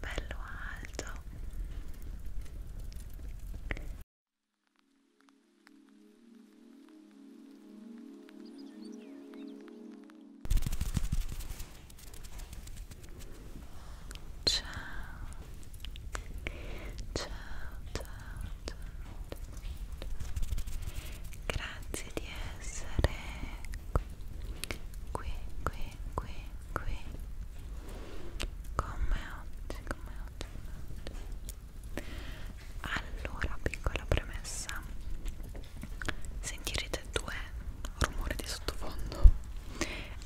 bello alto ciao ciao ciao ciao grazie di essere qui qui, qui, qui, qui come oggi, come oggi, come oggi allora, piccola premessa sentirete due rumori di sottofondo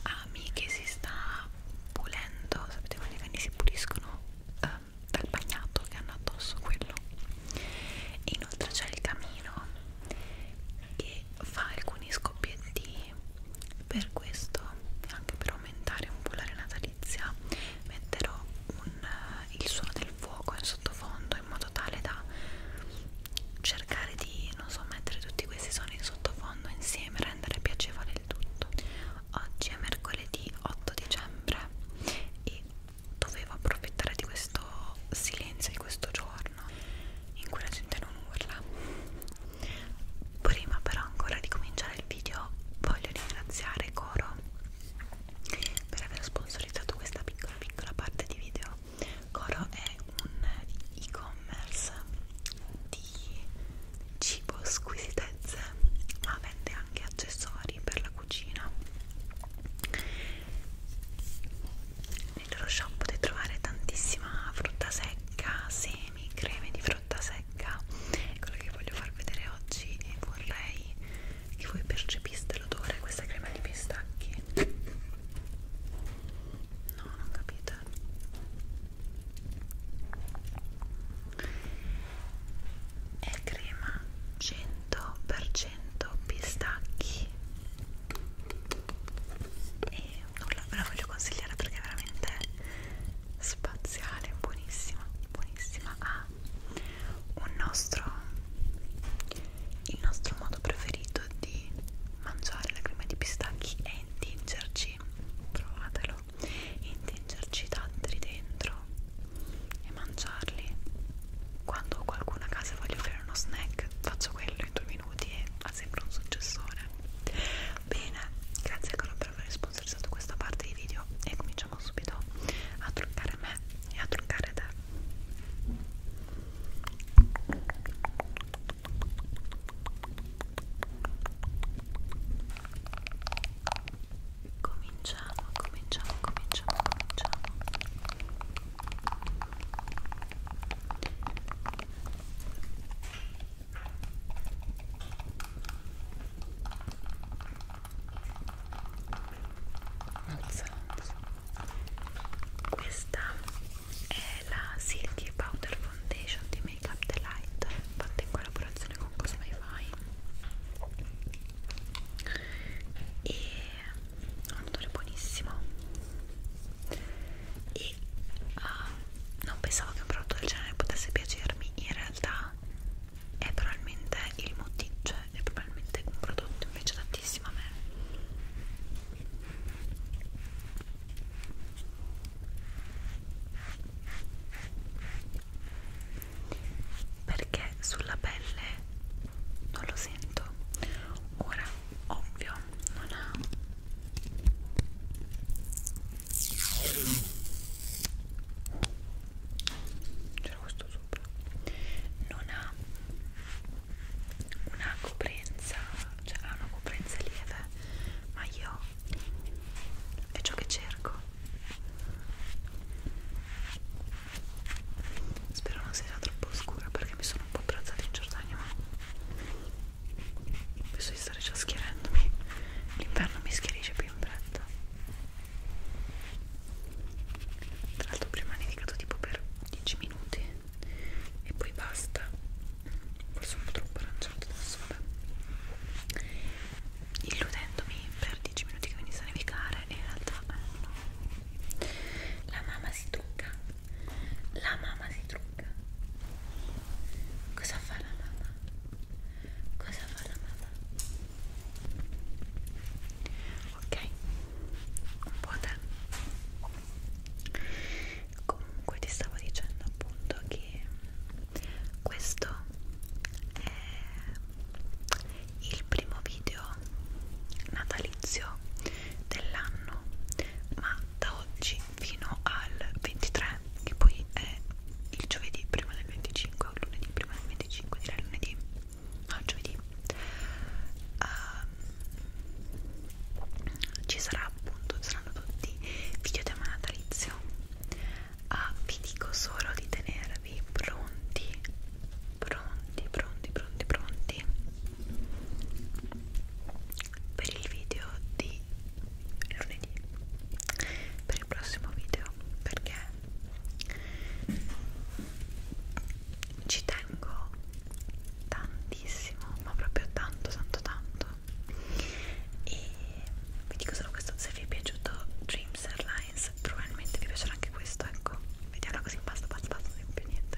Ami che si sta pulendo sapete quando i cani si puliscono eh, dal bagnato che hanno addosso quello e inoltre c'è il camino che fa alcuni scoppiettini per questo anche per aumentare un po' la natalizia metterò un, il suono del fuoco in sottofondo in modo tale da cercare di non so mettere tutti questi suoni in sottofondo insieme rendere piacevole il tutto oggi è mercoledì 8 dicembre e dovevo approfittare di questo silenzio di questo giorno moderno in cui la gente non urla prima però ancora di cominciare il video voglio ringraziare Coro per aver sponsorizzato questa piccola piccola parte di video Coro è un e-commerce di cibo squisitezze ma vende anche accessori per la cucina nel loro shop potete trovare tantissima frutta secca, semi, creme di frutta secca quello che voglio far vedere oggi e vorrei che voi percepiste l'odore questa crema di pistacchi no, non capite è crema 100% pistacchi e nulla ve la voglio consigliare perché è veramente spaziale buonissima buonissima ha un nostro il nostro modo preferito di mangiare la crema di pistacchi è intingerci provatelo intingerci datteri dentro e mangiarli quando qualcuno a casa voglia offrire uno snack faccio quello in due minuti e ha sempre un successore bene grazie ancora per aver sponsorizzato questa parte di video e cominciamo subito a truccare me e a truccare te cominciamo cominciamo cominciamo cominciamo questa è la Silky Powder Foundation di Make Up Delight fatta in collaborazione con Cosmify e un odore buonissimo e uh, non pensavo che un prodotto del genere potesse piacermi in realtà è probabilmente il motivo cioè è probabilmente un prodotto che piace tantissimo a me perché sulla pelle non lo sento ora ovvio non ha c'era questo sopra non ha una coprenza cioè ha una coprenza lieve ma io è ciò che cerco Spero non sia troppo oscura perché mi sono un po' abbronzata in Giordania, ma penso di stare già schierendomi. L'inverno mi schierisce più in fretta. Tra l'altro prima ha nevicato tipo per 10 minuti e poi basta. Forse un po' troppo aranciato adesso, vabbè. Illudendomi per 10 minuti che venisse a nevicare e in realtà eh, no. La mamma si si trucca la mamma si trucca cosa fa la mamma? cosa fa la mamma? ok un po' te comunque ti stavo dicendo appunto che questo è il primo video natalizio dell'anno ma da oggi fino al 23 che poi è il giovedì prima del 25 o lunedì prima del 25 direi lunedì no giovedì uh, ci sarà appunto saranno tutti video tema natalizio uh, vi dico solo di tenervi pronti pronti pronti pronti pronti per il video di lunedì per il prossimo video perché ci tengo tantissimo ma proprio tanto tanto tanto e vi dico solo questo se vi è piaciuto Dreams Airlines probabilmente vi piacerà anche questo ecco vediamo così basta basta basta non più niente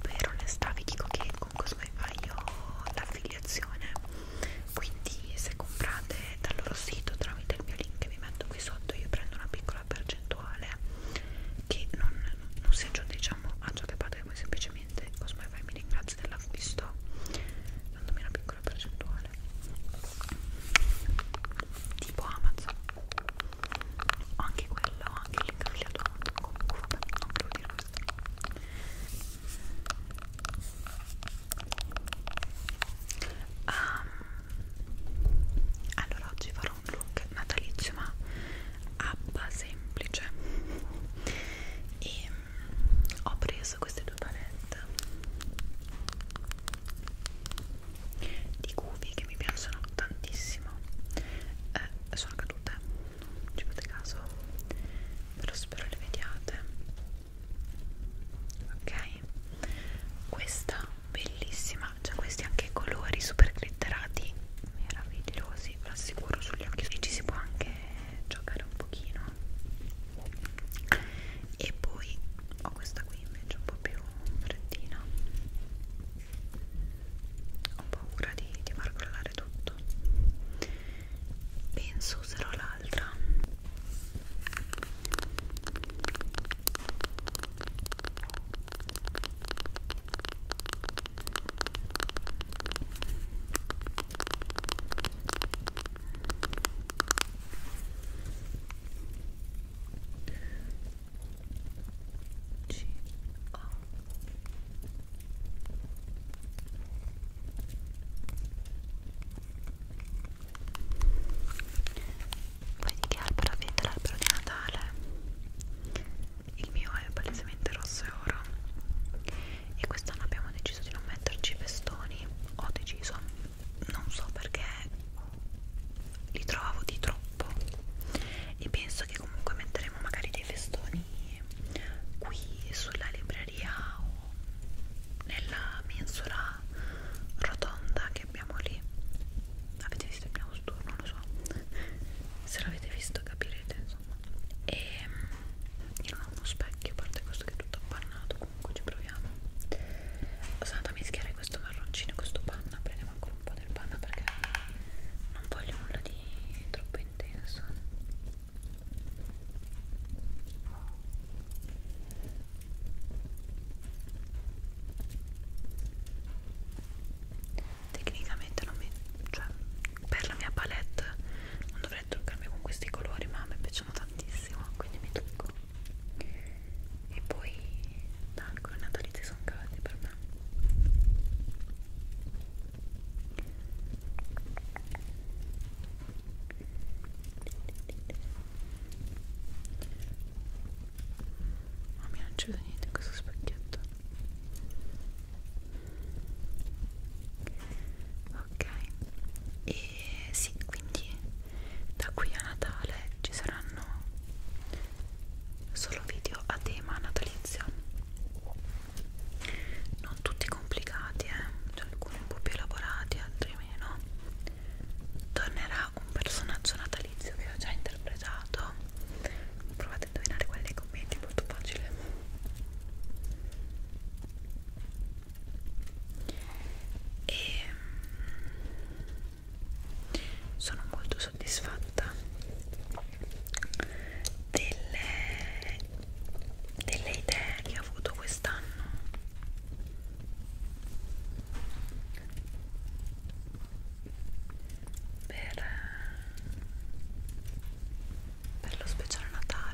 Per onestà vi dico che con Cosmify ho l'affiliazione, quindi se comprate dal loro sito tramite il mio link che vi metto qui sotto io prendo una piccola percentuale che non, non si aggiunge diciamo a ciò che fate voi semplicemente Cosmify mi ringrazio dell'acquisto dandomi una piccola percentuale normale tipo Amazon anche quello, anche l'incagliato comunque vabbè, non volevo dire questo um, allora oggi farò un look natalizio ma abba semplice e mm, ho preso queste due palette di cubi che mi piacciono tantissimo eh, sono cadute non ci fate caso però spero le vediate ok questa bellissima cioè questi anche colori super glitterati meravigliosi ve lo assicuro sugli occhi e ci si può anche giocare un pochino e poi ho questa qui invece un po' più freddina ho paura di, di far crollare tutto penso userò l'altra c O Vedi che albero avete l'albero di Natale? Il mio è palesemente rosso e oro e quest'anno abbiamo deciso di non metterci i festoni ho deciso non so perché li trovavo di troppo e penso che comunque metteremo magari dei festoni qui sulla libreria o nella mensura rotonda che abbiamo lì avete visto il piano sturno? non lo so se l'avete visto capirete insomma e ehm, io non ho uno specchio a parte questo che è tutto appannato comunque ci proviamo sono andata a mischiare questo marroncino questo panna prendiamo ancora un po' del panna perché non voglio nulla di troppo intenso tecnicamente non mi cioè per la mia palette non dovrei truccarmi con questi colori ma mi piacciono tantissimo quindi mi trucco e poi l'alcol e natalizia sono caldi per me ma mi non ci vedo niente in questo specchietto ok e e sì quindi da qui a Natale ci saranno solo video a tema natalizio non tutti complicati eh? cioè, alcuni un po' più elaborati altri meno tornerà un personaggio natalizio che ho già interpretato provate a indovinare quelli nei commenti molto facile e mm, sono molto soddisfatta delle, delle idee che ho avuto quest'anno per, per lo speciale Natale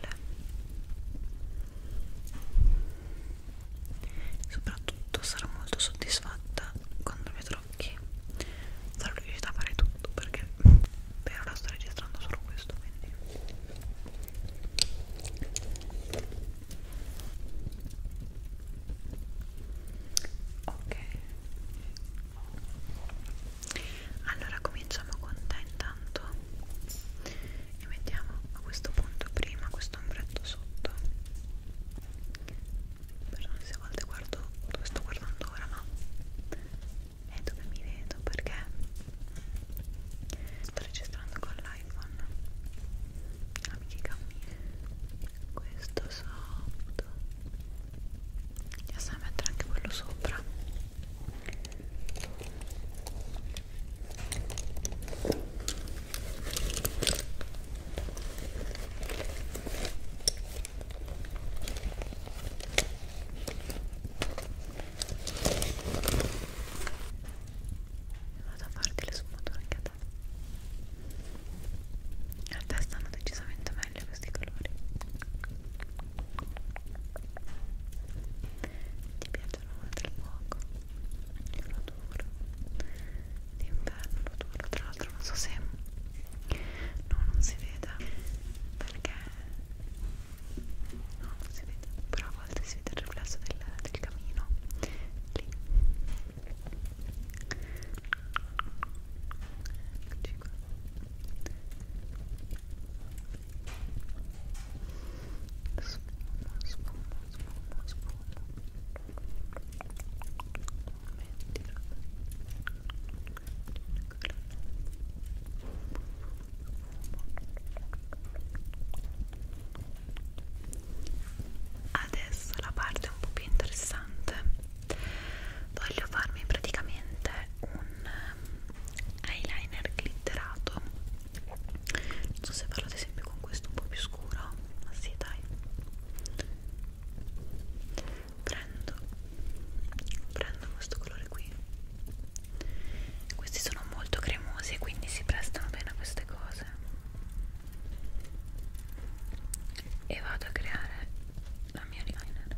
soprattutto sarò molto soddisfatta quando vedrò che sarò riuscita a fare tutto perché per ora sto registrando solo questo quindi ok allora cominciamo con te intanto e mettiamo a questo punto prima questo ombretto sotto perdonate se a volte guardo dove sto guardando ora ma è dove mi vedo perché sto registrando con l'iPhone amiche questo sotto andiamo a mettere anche quello sopra Vado a fare delle sfumature anche a te. A te stanno decisamente meglio questi colori. Ti piacciono oltre il fuoco? Io lo duro d'inverno lo duro tra l'altro non so se no non si veda perché no non si vede però a volte si vede il riflesso del, del camino lì eccoci qua Spuma, spuma, spuma, spuma. Mettilo. Adesso la parte un po' più interessante. Voglio farmi praticamente un ehm, eyeliner glitterato non so se farlo ad esempio con questo un po' più scuro ma sì dai prendo prendo questo colore qui questi sono molto cremosi quindi si prestano bene a queste cose e vado a creare la mia liner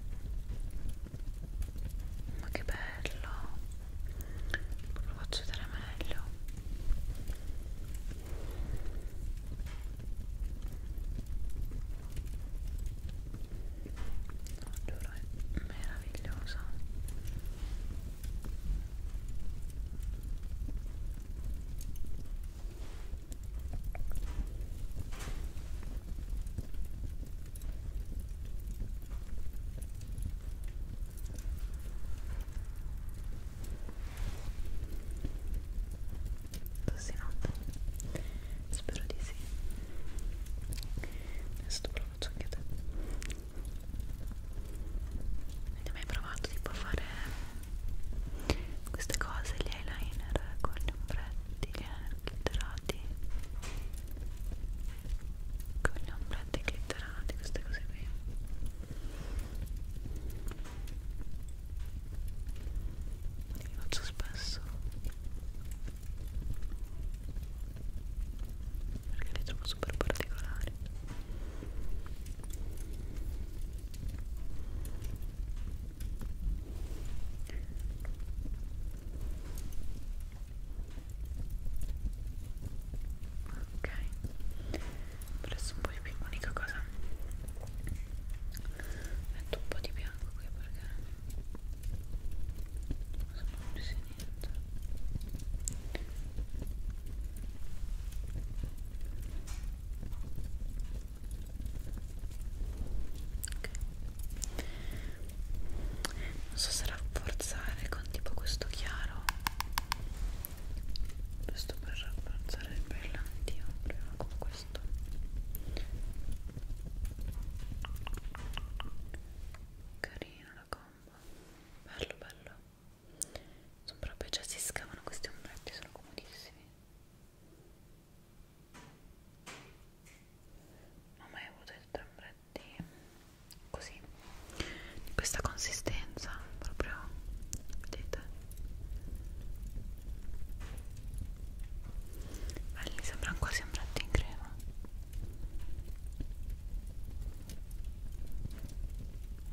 ma che bello lo faccio vedere meglio no, giuro è meravigliosa Tossinato? Spero di sì. Adesso te lo faccio anche a te. Hai mai provato tipo a fare queste cose, gli eyeliner con gli ombretti, gli eyeliner glitterati? con le ombrette glitterate queste cose qui li faccio spesso perché li trovo super particolari ok adesso un po' di più l'unica cosa metto un po' di bianco qui perché non so più se niente ok non so se rafforzare con tipo questo chiaro questo per rafforzare il brillantino prima con questo carino la combo bello bello sono proprio già cioè, si scavano questi ombretti sono comodissimi non ho mai avuto il ombretto e così di questa consistenza proprio vedete belli sembrano quasi ombretti in crema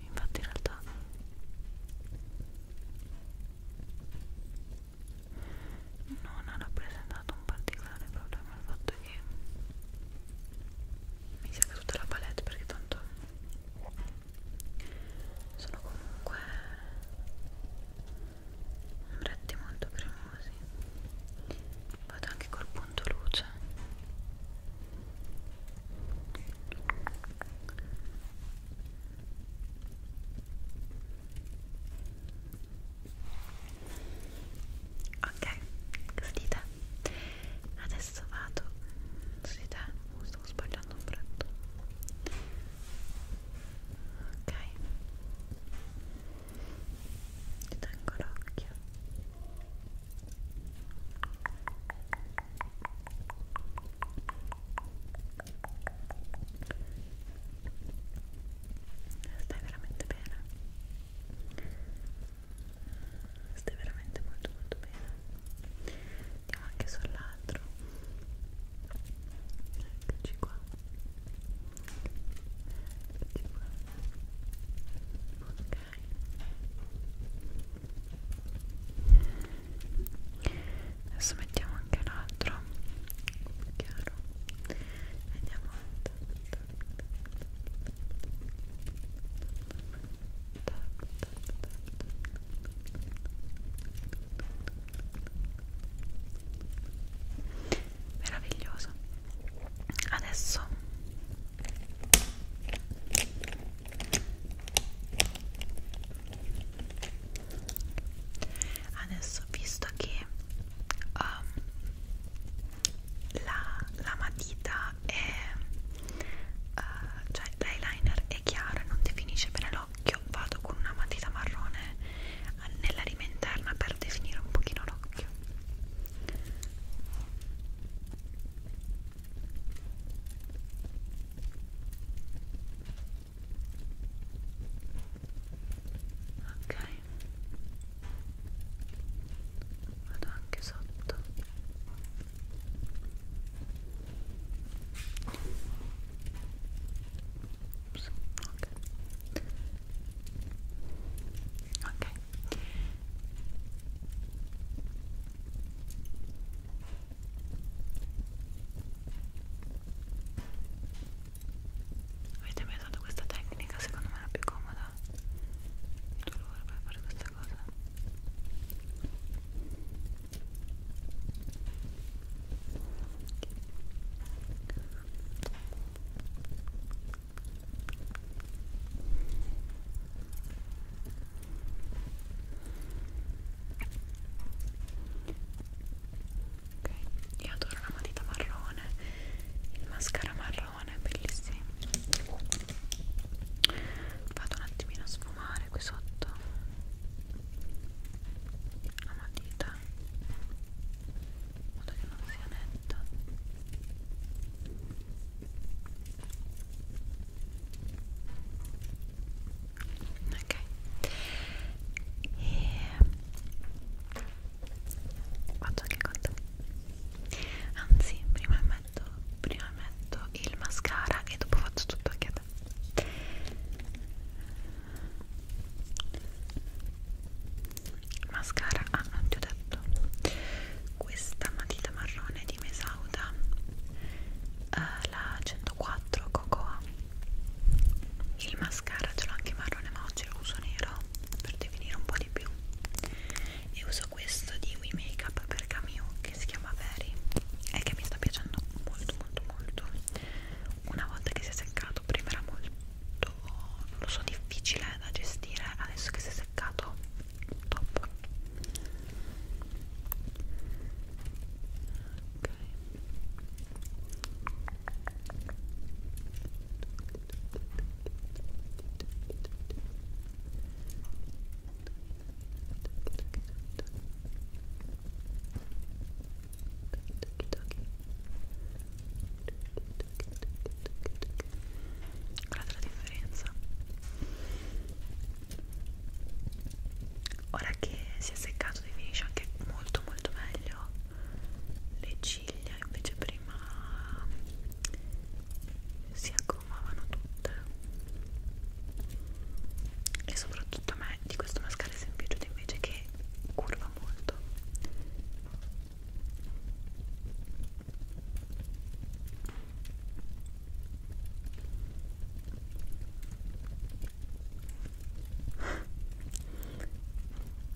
infatti in realtà non ha rappresentato un particolare problema il fatto e mi sia caduta la palette perché tanto sono comunque ombretti molto cremosi vado anche col punto luce ok così dite adesso vado su te stavo sbagliando un pranto ok ti tengo l'occhio stai veramente bene stai veramente molto molto bene andiamo anche sull'altro eccoci qua eccoci qua ok adesso mettiamo anche un altro più chiaro andiamo avanti meraviglioso adesso adesso visto che um, la, la matita è uh, cioè l'eyeliner è chiaro e non definisce bene l'occhio vado con una matita marrone nella rima interna per definire un pochino l'occhio ok vado anche sotto Ups, ok ok Avete mai usato questa tecnica? Secondo me è la più comoda il dolore per fare questa cosa ok io adoro la matita marrone il mascara marrone cannone bellissimi vado un attimino a sfumare qui sotto la matita in modo che non sia netta ok e faccio anche con te anzi prima metto, prima metto il mascara e dopo faccio tutto anche a te mascara, ah non ti ho detto questa matita marrone di Mesauda eh, la 104 Cocoa il mascara ce l'ho anche marrone ma oggi lo uso nero per definire un po' di più e uso questo di We Makeup per Camille che si chiama Very e che mi sta piacendo molto molto molto una volta che si è seccato prima era molto lo so difficile da gestire adesso che si è seccato top ok Guardate la differenza ora che si è seccato definisce anche molto molto meglio le ciglia invece prima si aggommavano tutte e soprattutto a me di questo mascara si è piaciuto invece che curva molto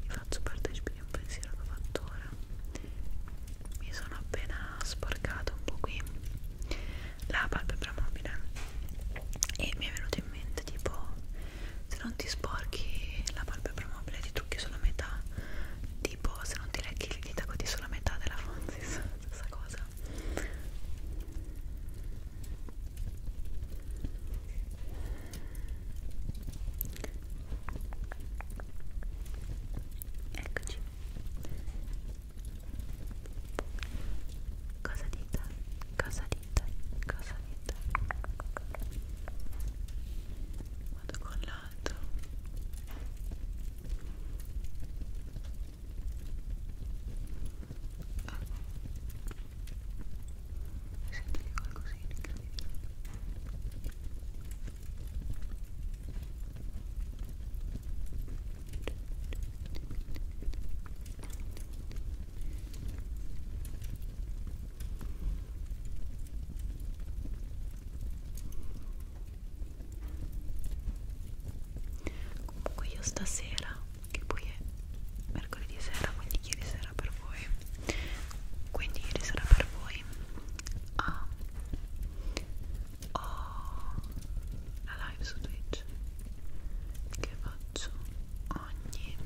vi faccio partecipare un pensiero che ho fatto ora mi sono appena sporcato un po' qui la palpebra mobile e mi è venuto in mente tipo se non ti sporchi la palpebra mobile ti trucchi sulla metà tipo se non ti lecchi le dita così sulla metà della Fonzi stessa cosa Eccoci. Cosa dite? Cosa dite? Cosa dite? Vado con l'altro. Ah. Senti qualcosina incredibile. Comunque io stasera, che poi è mercoledì sera, quindi ieri sera per voi, quindi ieri sera per voi a ho la live su Twitch che faccio ogni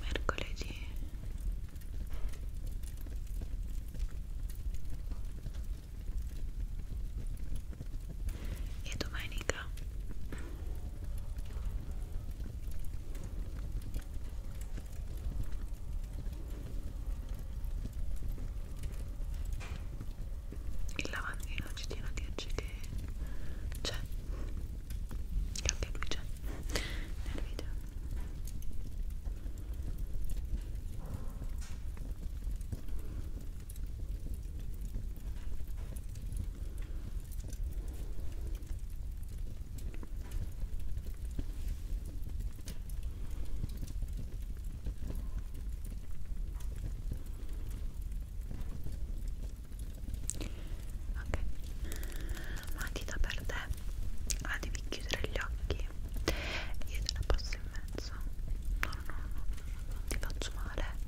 mercoledì e domenica il lavandino ci tiene a dirci che c'è che anche lui c'è nel video Ok, matita per te, la devi chiudere gli occhi, io te la passo in mezzo, no no no, non ti faccio male,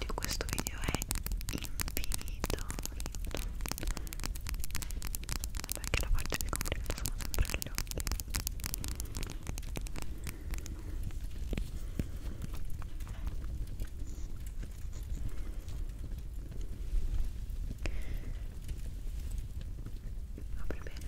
di questo video è infinito perché la faccia di complimenti sono sempre agli occhi apri bene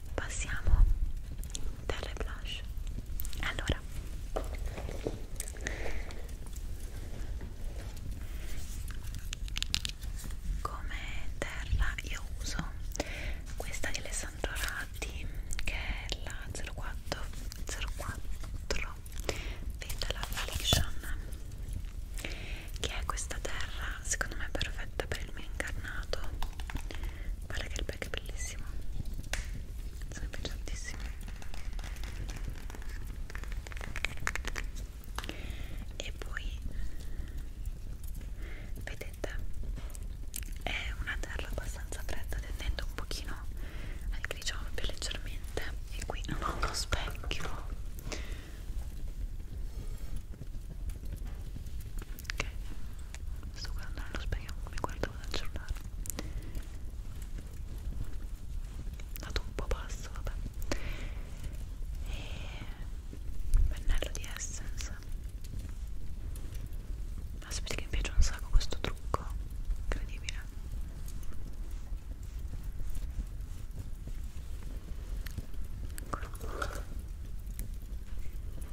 passiamo dalle blush allora come terra io uso questa di Alessandro Ratti che è la 04 04 Vendala Affliction che è questa terra secondo me perfetta per il mio incarnato guarda che il pack è bellissimo sono piaciutissimo e poi vedete è una terra abbastanza fredda tendendo un pochino al grigio più leggermente e qui non ho uno specchio che sto guardando nello specchio mi guardavo dal cellulare dato un po' basso vabbè e pennello di Essence ma sapete che mi piace un sacco questo trucco incredibile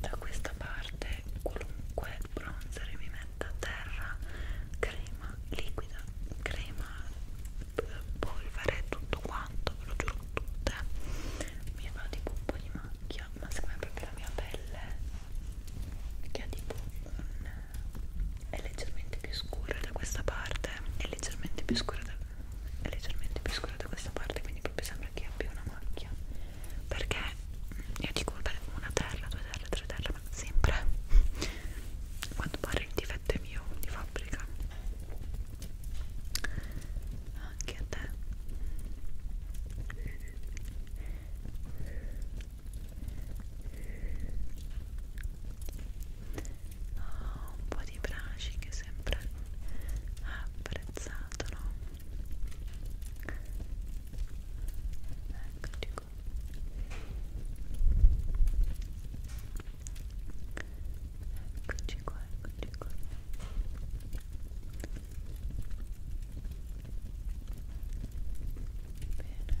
da questa parte qualunque bronzer mi metta a terra crema liquida crema polvere tutto quanto ve lo giuro tutte mi va tipo un po' di macchia ma secondo me proprio la mia pelle che ha tipo un è leggermente più scura da questa parte è leggermente più scura da è leggermente più scuro da questa parte quindi proprio sembra che abbia una macchia perché io dico vabbè una terra, due terre, tre terre ma sempre a quanto pare il difetto è mio di fabbrica anche a te Oh, un po' di braci che sempre apre apprezzato, no? Eccoci qua. Eccoci qua, eccoci qua. Bene. Bene,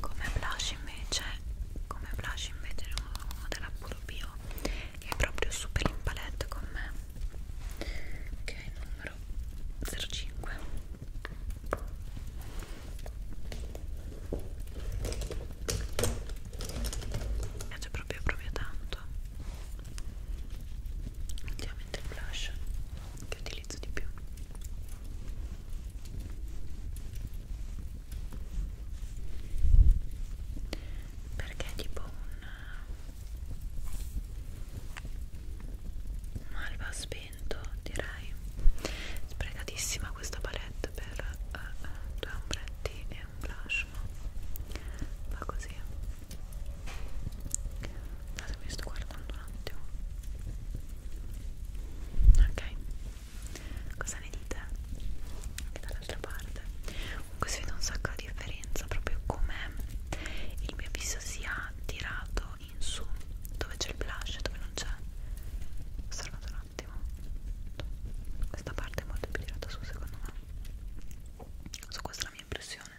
come blush invece come blush invece uno della Puro Bio che è proprio super in palette con me che è il numero 05 mi piace proprio proprio tanto ultimamente il blush che utilizzo di più perché è tipo un, un alba spento direi sprecatissima questa palette per uh, uh, due ombretti e un blush ma va così Datemi sto guardando un attimo Ok Cosa ne dite? Anche dall'altra parte Comunque si vede un sacco di differenza Proprio come il mio viso sia tirato in su Dove c'è il blush dove non c'è Osservate un attimo Questa parte è molto più tirata su secondo me Su questa è la mia impressione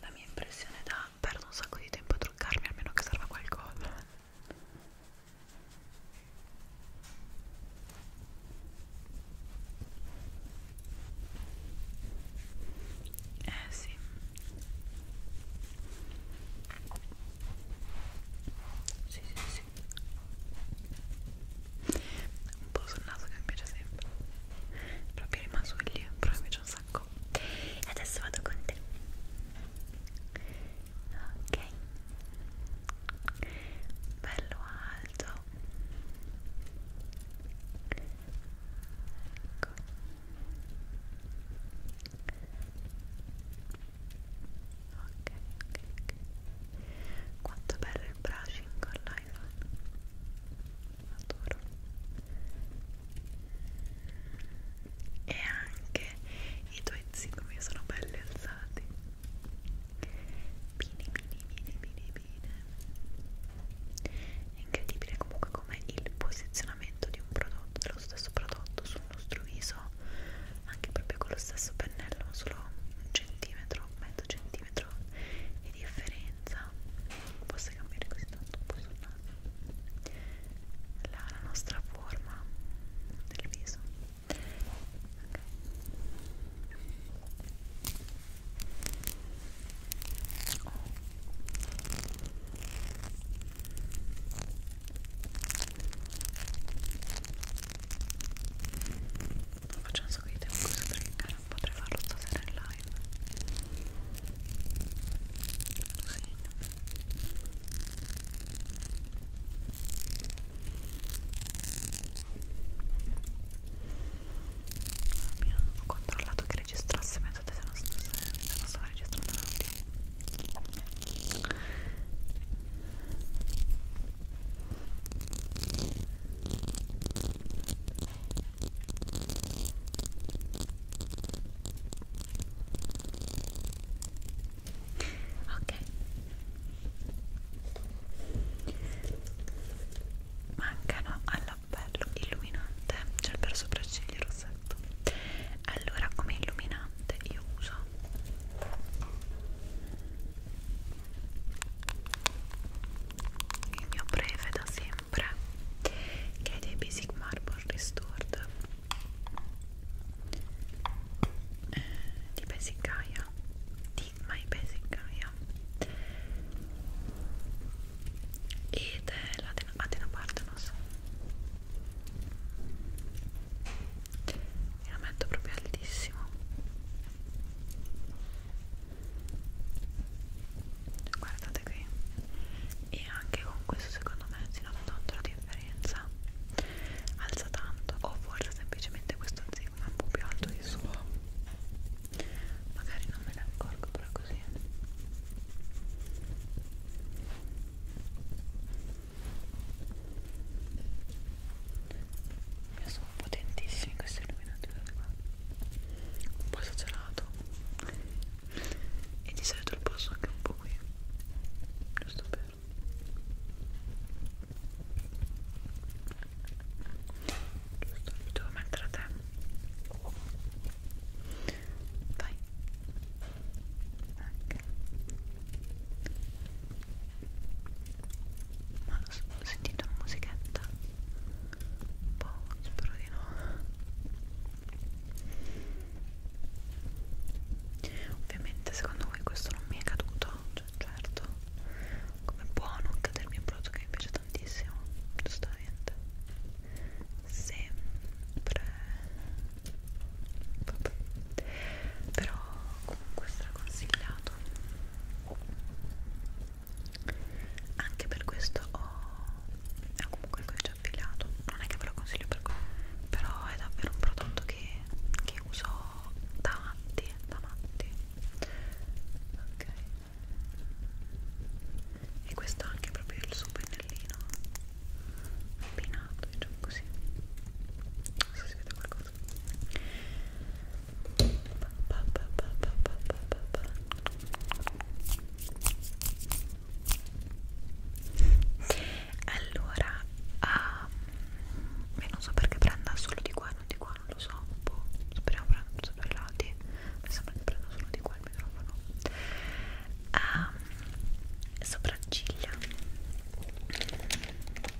la mia impressione è da perdo un sacco di tempo a truccarmi almeno che serva qualcosa. Eh sì. Sì, sì, sì un po' sul naso che mi piace sempre proprio rimasugli però mi piace un sacco e adesso vado con te ok bello alto ecco ok, ok. Quanto bello il brushing con l'iPhone. Adoro. E anche i tuoi zigomi sono belli alzati. Bene, bene, bene, bene, bene. È incredibile comunque come il posizionamento di un prodotto, dello stesso prodotto su il nostro viso anche proprio con lo stesso pennello solo un centimetro mezzo centimetro di differenza possa cambiare così tanto un po' sul naso la, la nostra forma del viso okay. Oh non faccio un sacco di tempo così perché non potrei farlo stasera in live lo segno Mia, ho controllato che registrasse mezz'ora se non stava registrando ok mancano all'appello illuminante c'è il per sopracciglia rossetto allora come illuminante io uso il mio breve da sempre che è dei Basic Marble Restored eh, di Basic Gaia di My Basic Gaia ed è la Atena Parthenos e lo metto proprio altissimo guardate qui e anche con questo secondo me si nota tanto la differenza alza tanto o forse semplicemente questo zigomo è un po' più alto di suo magari non me ne accorgo però così io sono potentissimi questi illuminatori qua Un po' esagerato E di solito lo passo anche un po' qui Giusto per Giusto, li devo mettere a te Vai anche ma ho sentito una musichetta boh spero di no ovviamente secondo voi questo non mi è caduto cioè certo come può non cadermi un prodotto che mi piace tantissimo giustamente sempre Vabbè. però comunque straconsigliato anche per questo ho è comunque il codice affiliato non è che ve lo consiglio per però è davvero un prodotto che, che uso da matti da matti ok e questo è anche proprio il suo pennellino appinato diciamo così non so se si vede qualcosa allora, um, ehm, io non so perché prenda solo di qua e non di qua, non lo so, un boh, po'. Speriamo prenda solo i lati. Mi sembra che prenda solo di qua il microfono. Um, sopracciglia.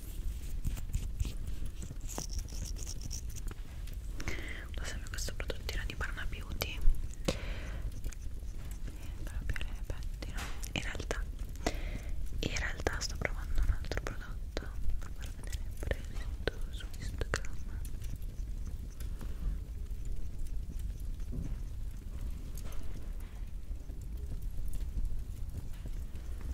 uso sempre questo prodottino di Parma Beauty proprio le pettino in realtà in realtà sto provando un altro prodotto per far vedere preso su Instagram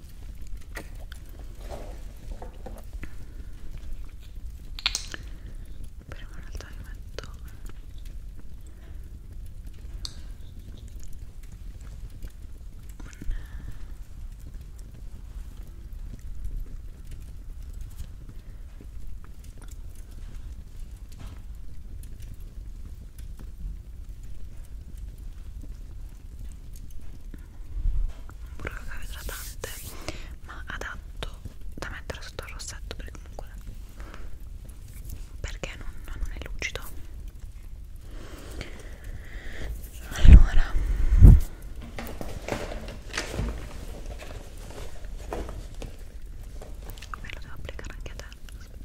Prima in realtà io metto un un burro idratante ma adatto da mettere sotto il rossetto perché comunque perché non, non è lucido allora me lo devo applicare anche a te aspetta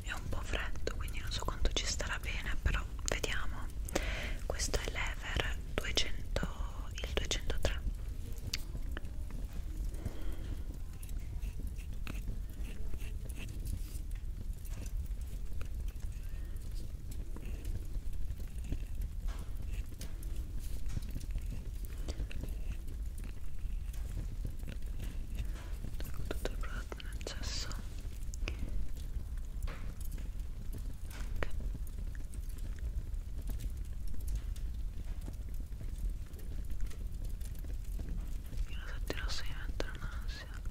È un po' freddo, quindi non so quanto ci starà bene, però vediamo. Questo è l'Ever 200, il 203 con tutto il prodotto in accesso ok io lo sentirò se mi metto un'ansia ok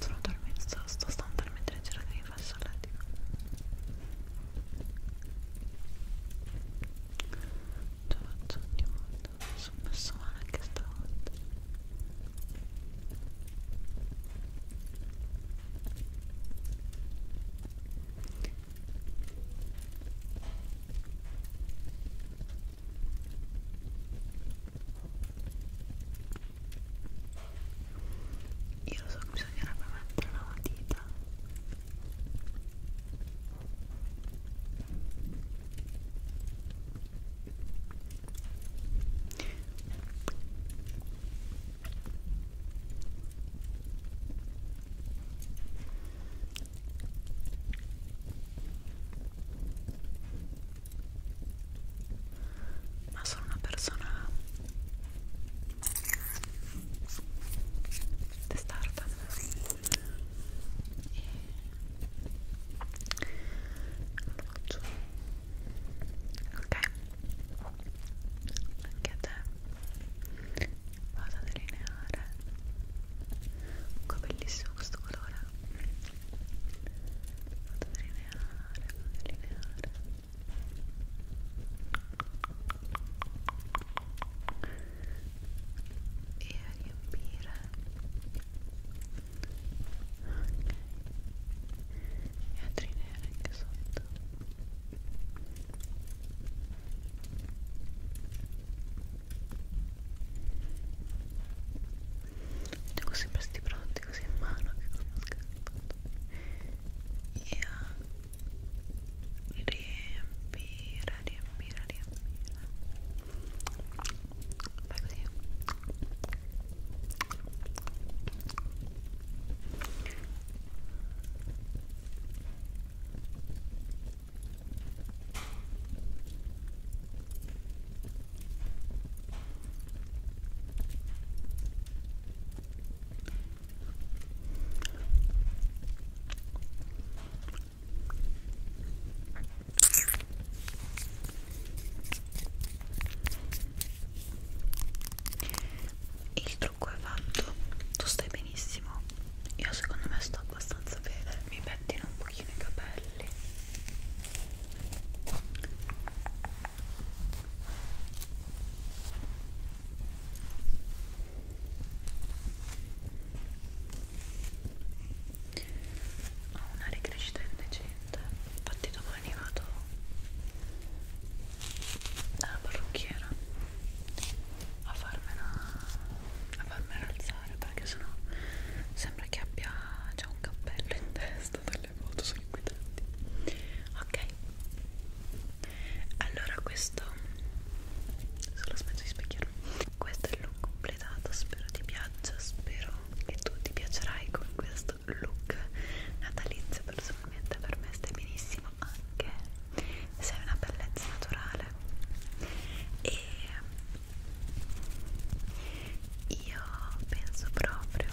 sono talmente sto, sto stando talmente leggera che mi faccio a letto ce la faccio ogni volta mi sono messo male anche stavolta io lo so che bisognerebbe mettere una matita ma sono una persona testarda e appoggio ok anche a te vado a delineare ecco bellissimo questo colore vado a delineare, vado a delineare e a riempire ok e a delineare anche sotto ok tengo sempre questi prodotti così in mano che sono scaricati e riempire, riempire, riempire fai così ok il trucco è fatto, tu stai benissimo. Io secondo me sto abbastanza bene, mi pettino un pochino i capelli ho una ricrescita indecente infatti domani vado alla parrucchiera a farmela a farmela alzare perché sennò sembra che abbia già un cappello in testa da le foto sono inquietanti ok allora questo solo aspetto di specchiarmi questo è il look completato spero ti piaccia spero che tu ti piacerai con questo look natalizio personalmente per me stai benissimo anche sei una bellezza naturale e io penso proprio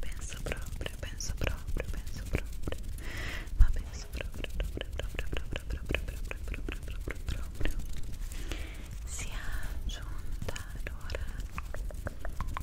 penso proprio penso proprio penso proprio ma penso proprio proprio proprio proprio proprio proprio proprio proprio proprio sia giunta l'ora passare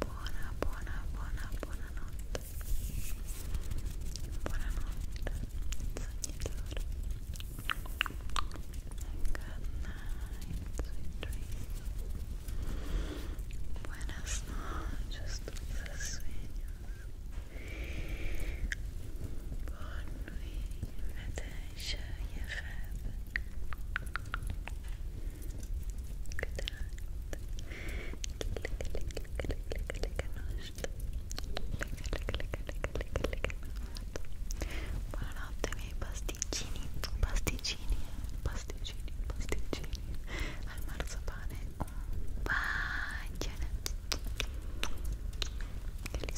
buona buona buona buonanotte buonanotte sognatori and good night sweet dreams buenas noches dulces sueños bonne nuit Natasha Yafab good Buonanotte miei pasticcini, pasticcini, pasticcini, pasticcini al marzapane un bacione che li